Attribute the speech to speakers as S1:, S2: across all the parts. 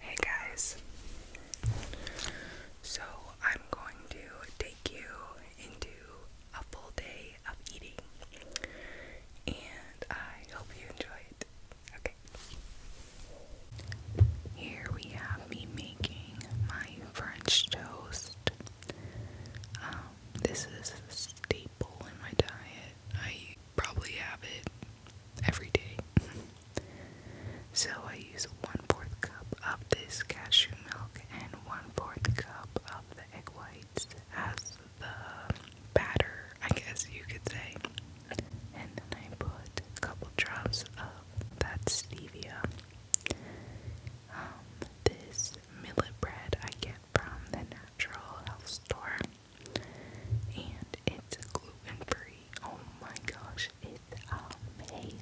S1: Hey guys, so I'm going to take you into a full day of eating and I hope you enjoy it. Okay, here we have me making my French toast. Um, this is a staple in my diet probably have it every day. so I use one fourth cup of this cashew milk and one fourth cup of the egg whites as the batter, I guess you could say. And then I put a couple drops of that stevia. Um, this millet bread I get from the natural health store. And it's gluten free. Oh my gosh, it's amazing.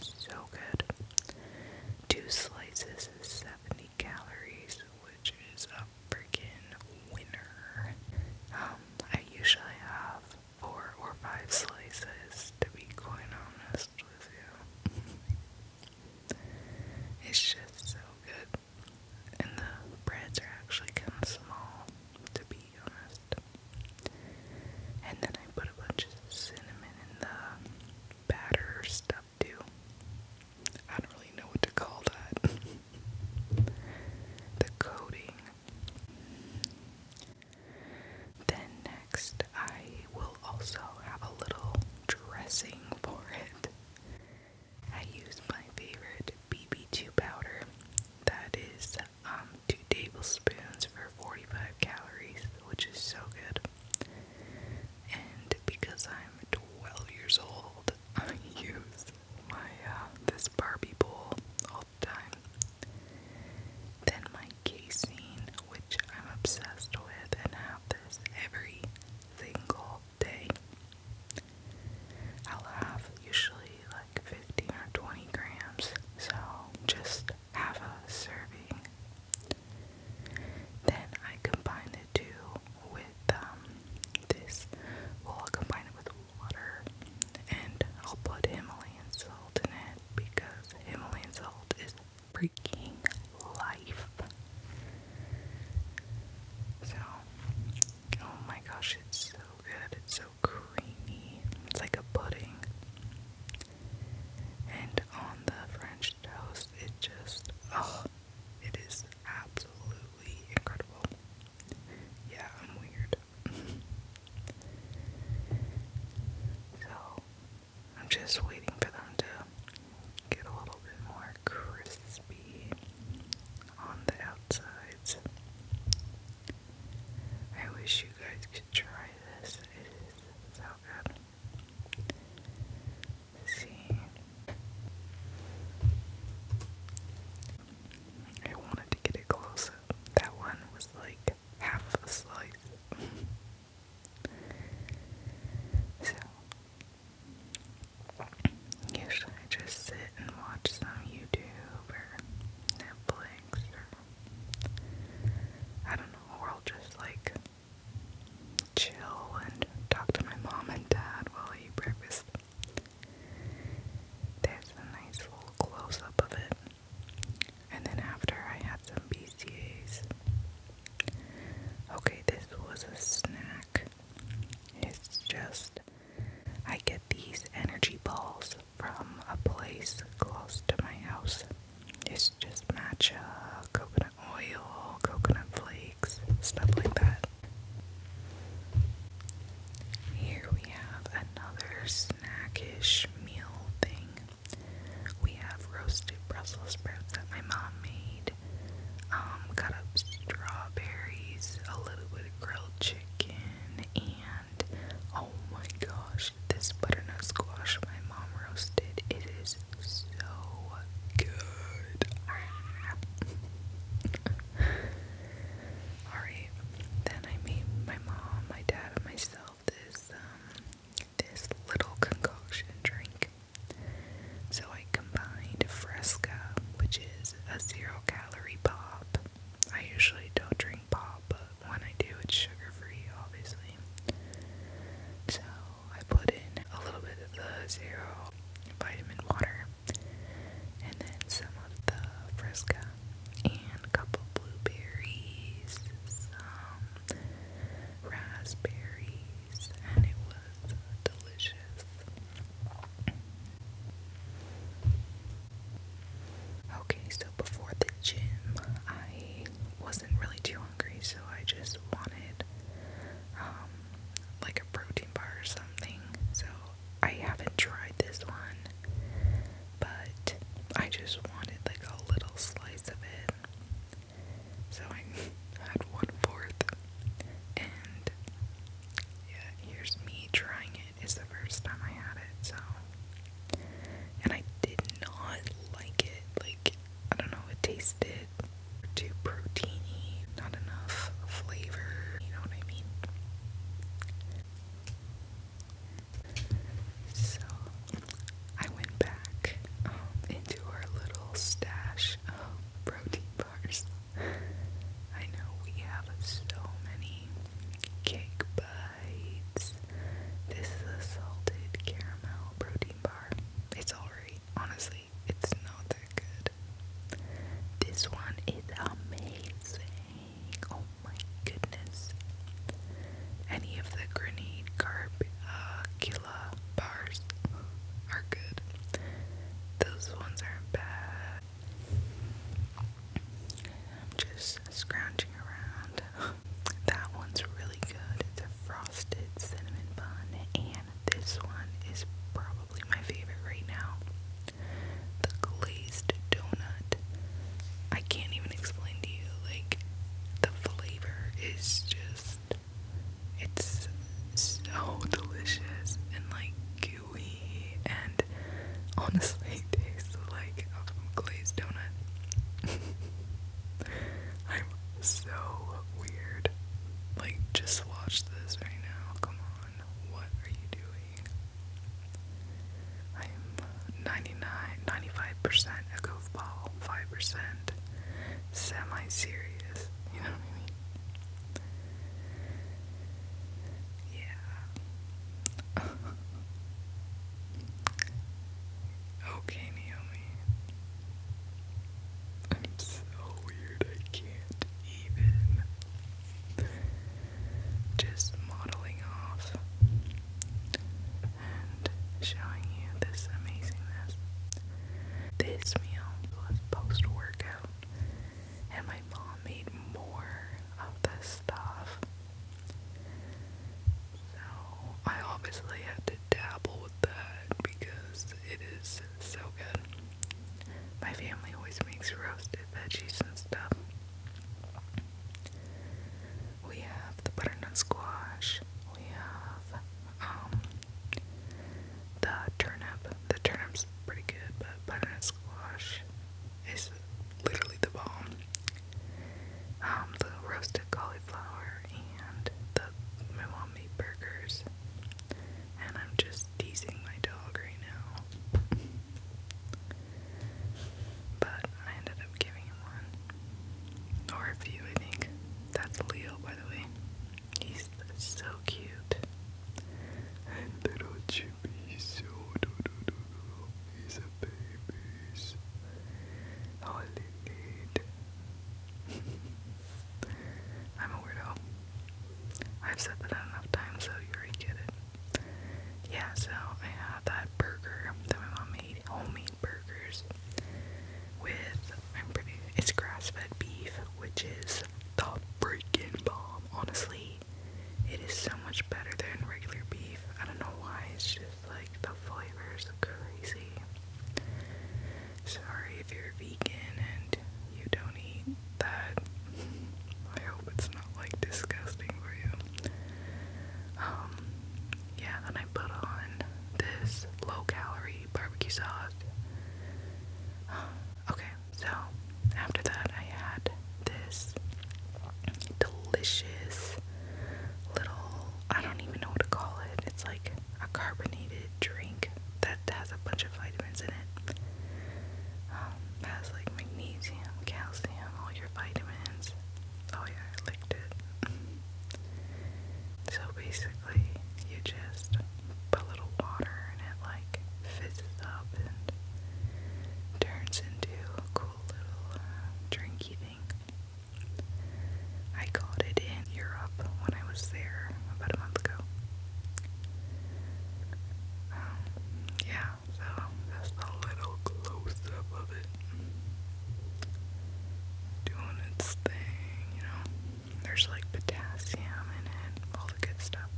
S1: So good. Two slices is 70 calories, which is a freaking winner. Um, I usually have four or five slices, to be quite honest with you. it's just so good and the breads are actually kind of small, to be honest. And then I put a bunch of cinnamon in the batter stuff too. I don't really know what to call that. the coating. Then next, I will also have a little dressing for it. I use my favorite BB2 powder. That is um, 2 tablespoons for 45 calories, which is so good. And because I'm 12 years old, I use my uh, this Barbie bowl all the time. Then my casein, which I'm obsessed with, and have this every single day. I'll have usually like 15 or 20 grams, so just have a serving. Then I combine the two with um, this. Well, I'll combine it with water and I'll put Himalayan salt in it because Himalayan salt is freaking life. So, oh my gosh, it's so good. It's so creamy. It's like a pudding. And on the French toast, it just, oh, it is absolutely incredible. Yeah, I'm weird. so, I'm just waiting for them to get a little bit more crispy on the outsides. I wish you guys could try this. It is so good. see. I wanted to get it close That one was like half a slice. so Usually I just sit and watch some YouTube or Netflix or I don't know, or I'll just like chill and talk to my mom and dad while I eat breakfast. There's a nice little close of it. And then after I had some BCAs. Okay, this was a snack. It's just, I get these energy balls from a place close to my house. It's just matcha, coconut oil, coconut flakes, stuff like that. Here we have another snackish meal thing. We have roasted Brussels sprouts that my mom made cut um, up strawberries, a little bit of grilled chicken, and oh my gosh, this butternut squash my mom roasted. It is so good. Alright, then I made my mom, my dad, and myself this um, this little concoction drink. So I combined Fresca, which is a zero calorie pop. I usually don't drink pop, but when I do, it's sugar free, obviously. So I put in a little bit of the zero vitamin water, and then some of the Fresca, and a couple blueberries, some raspberries and it was delicious. Okay, so before the gym, I wasn't really too hungry, so I just wanted um, like a protein bar or something. So I haven't tried this one, but I just wanted like a little slice of it. So I had one fourth. And yeah, here's me trying it. It's the first time I had it, so and I did not like it. Like I don't know, it tasted too proteiny, not enough flavor, you know what I mean? So I went back um, into our little stash protein bars. I know we have so many cake bites. This is a salted caramel protein bar. It's alright, honestly, it's not that good. This one is amazing. Oh my goodness. Any of the grenade carb uh, bars are good. Those ones aren't bad. just scrounging around. That one's really good. It's frosted cinnamon bun, and this one is probably my favorite right now. The glazed donut. I can't even explain to you, like, the flavor is just it's so delicious and like gooey and honestly tastes like a um, glazed donut. I'm so weird. Like, just watch this right now. Come on. What are you doing? I'm 99, percent a goofball, 5% semi serious, I Yeah. okay, Naomi. I'm so weird, I can't even. Just modeling off and showing you this amazingness. This meal was post workout, and my mom made more of the stuff. So I obviously had to dabble with that because it is so good. My family always makes roasted veggies and stuff. We have the butternut squash, we have um, the turnip. The turnip's pretty good, but butternut squash is literally the bomb. Um, the roasted cauliflower and the my mom made burgers. And I'm just teasing my dog right now. But I ended up giving him one. Or a few, I think. That's Leo, by He's so cute. little Chippy, so do do do do. He's a baby. Oh, I'm a weirdo. I've said that enough times, so you already get it. Yeah, so I had that burger that my mom made homemade burgers with I'm pretty it's grass fed beef, which is the freaking bomb. Honestly, it is so much better than regular beef. I don't know why, it's just like the flavor is crazy. Sorry if you're vegan and you don't eat that. I hope it's not like disgusting for you. Um, yeah, then I put on this low calorie barbecue sauce. Okay, so after that, I had this delicious little, I don't even know what to call it. It's like a carbonated drink that has a bunch of vitamins in it. Um, has like magnesium, calcium, all your vitamins. Oh yeah, I licked it. So basically, you just put a little water and it like fizzes up and turns into a cool little uh, drinky thing. I got it in Europe when I was there about a month ago. Um, yeah, so that's a little close up of it doing its thing, you know. There's like potassium in it, all the good stuff.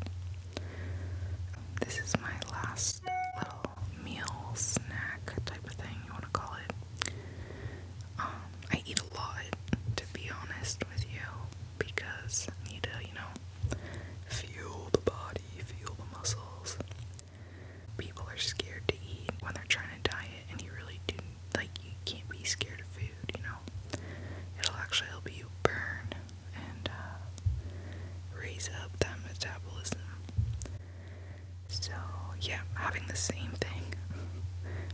S1: This is my last little meal snack type of thing you want to call it. Um, I eat a lot, to be honest with you, because I need to, you know, fuel the body, fuel the muscles. People are scared to eat when they're trying to diet and you really do like you can't be scared of food, you know. It'll actually help you burn and uh, raise up that metabolism. So yeah, having the same thing,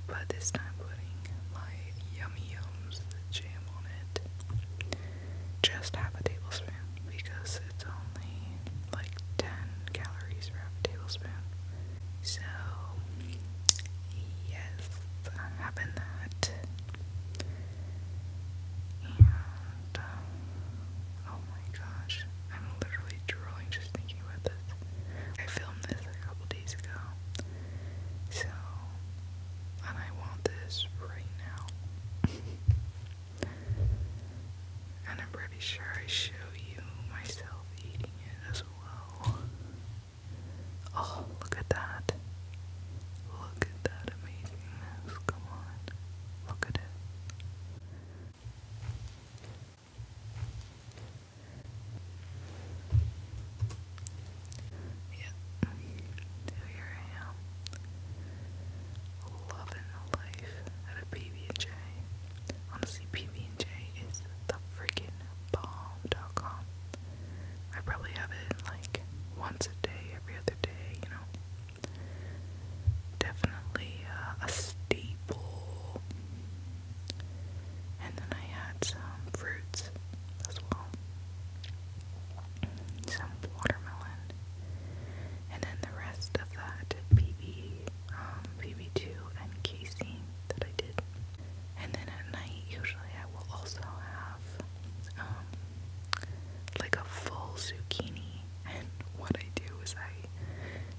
S1: but this time putting my yummy yums the jam on it. Just half a tablespoon because it's only like 10 calories for tablespoon. So, yes, I'm having that. And, uh, oh my gosh, I'm literally drooling just thinking about this. I filmed this a couple days ago. So, and I want this right now. and I'm pretty sure I show you myself eating it. Oh, look at that. Look at that amazingness. Come on. Look at it. Yeah. Here I am. Loving life at a pb Honestly, PB&J is the freaking bomb.com. I probably have it like once a day, every other day, you know. Definitely uh, a staple. And then I had some fruits as well. Some watermelon. And then the rest of that PB um, BB2 and casein that I did. And then at night, usually I will also have um, like a full zucchini. And what I do is I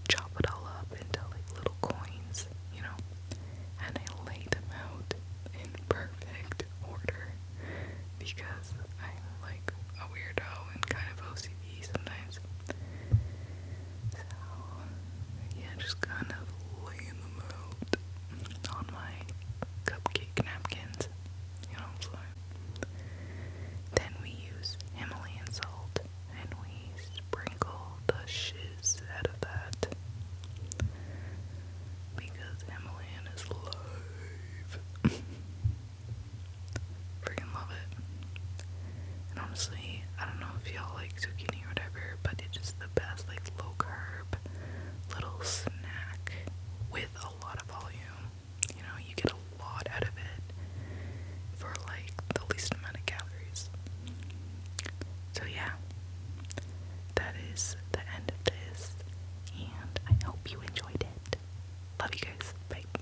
S1: chop it all up into like little coins, you know, and I lay them out in perfect order because I'm like a weirdo and kind of OCD sometimes. So yeah, just kind of laying them out on my cupcake napkins. You know what I'm saying? Then we use Himalayan salt and we sprinkle the shiz out of that. Because Himalayan is live. Freaking love it. And honestly, I don't know if y'all like zucchini or whatever, but it's just the best, like low carb little snack with a lot of volume. You know, you get a lot out of it for like the least amount of calories. So, yeah, that is the end of this, and I hope you enjoyed it. Love you guys. Bye.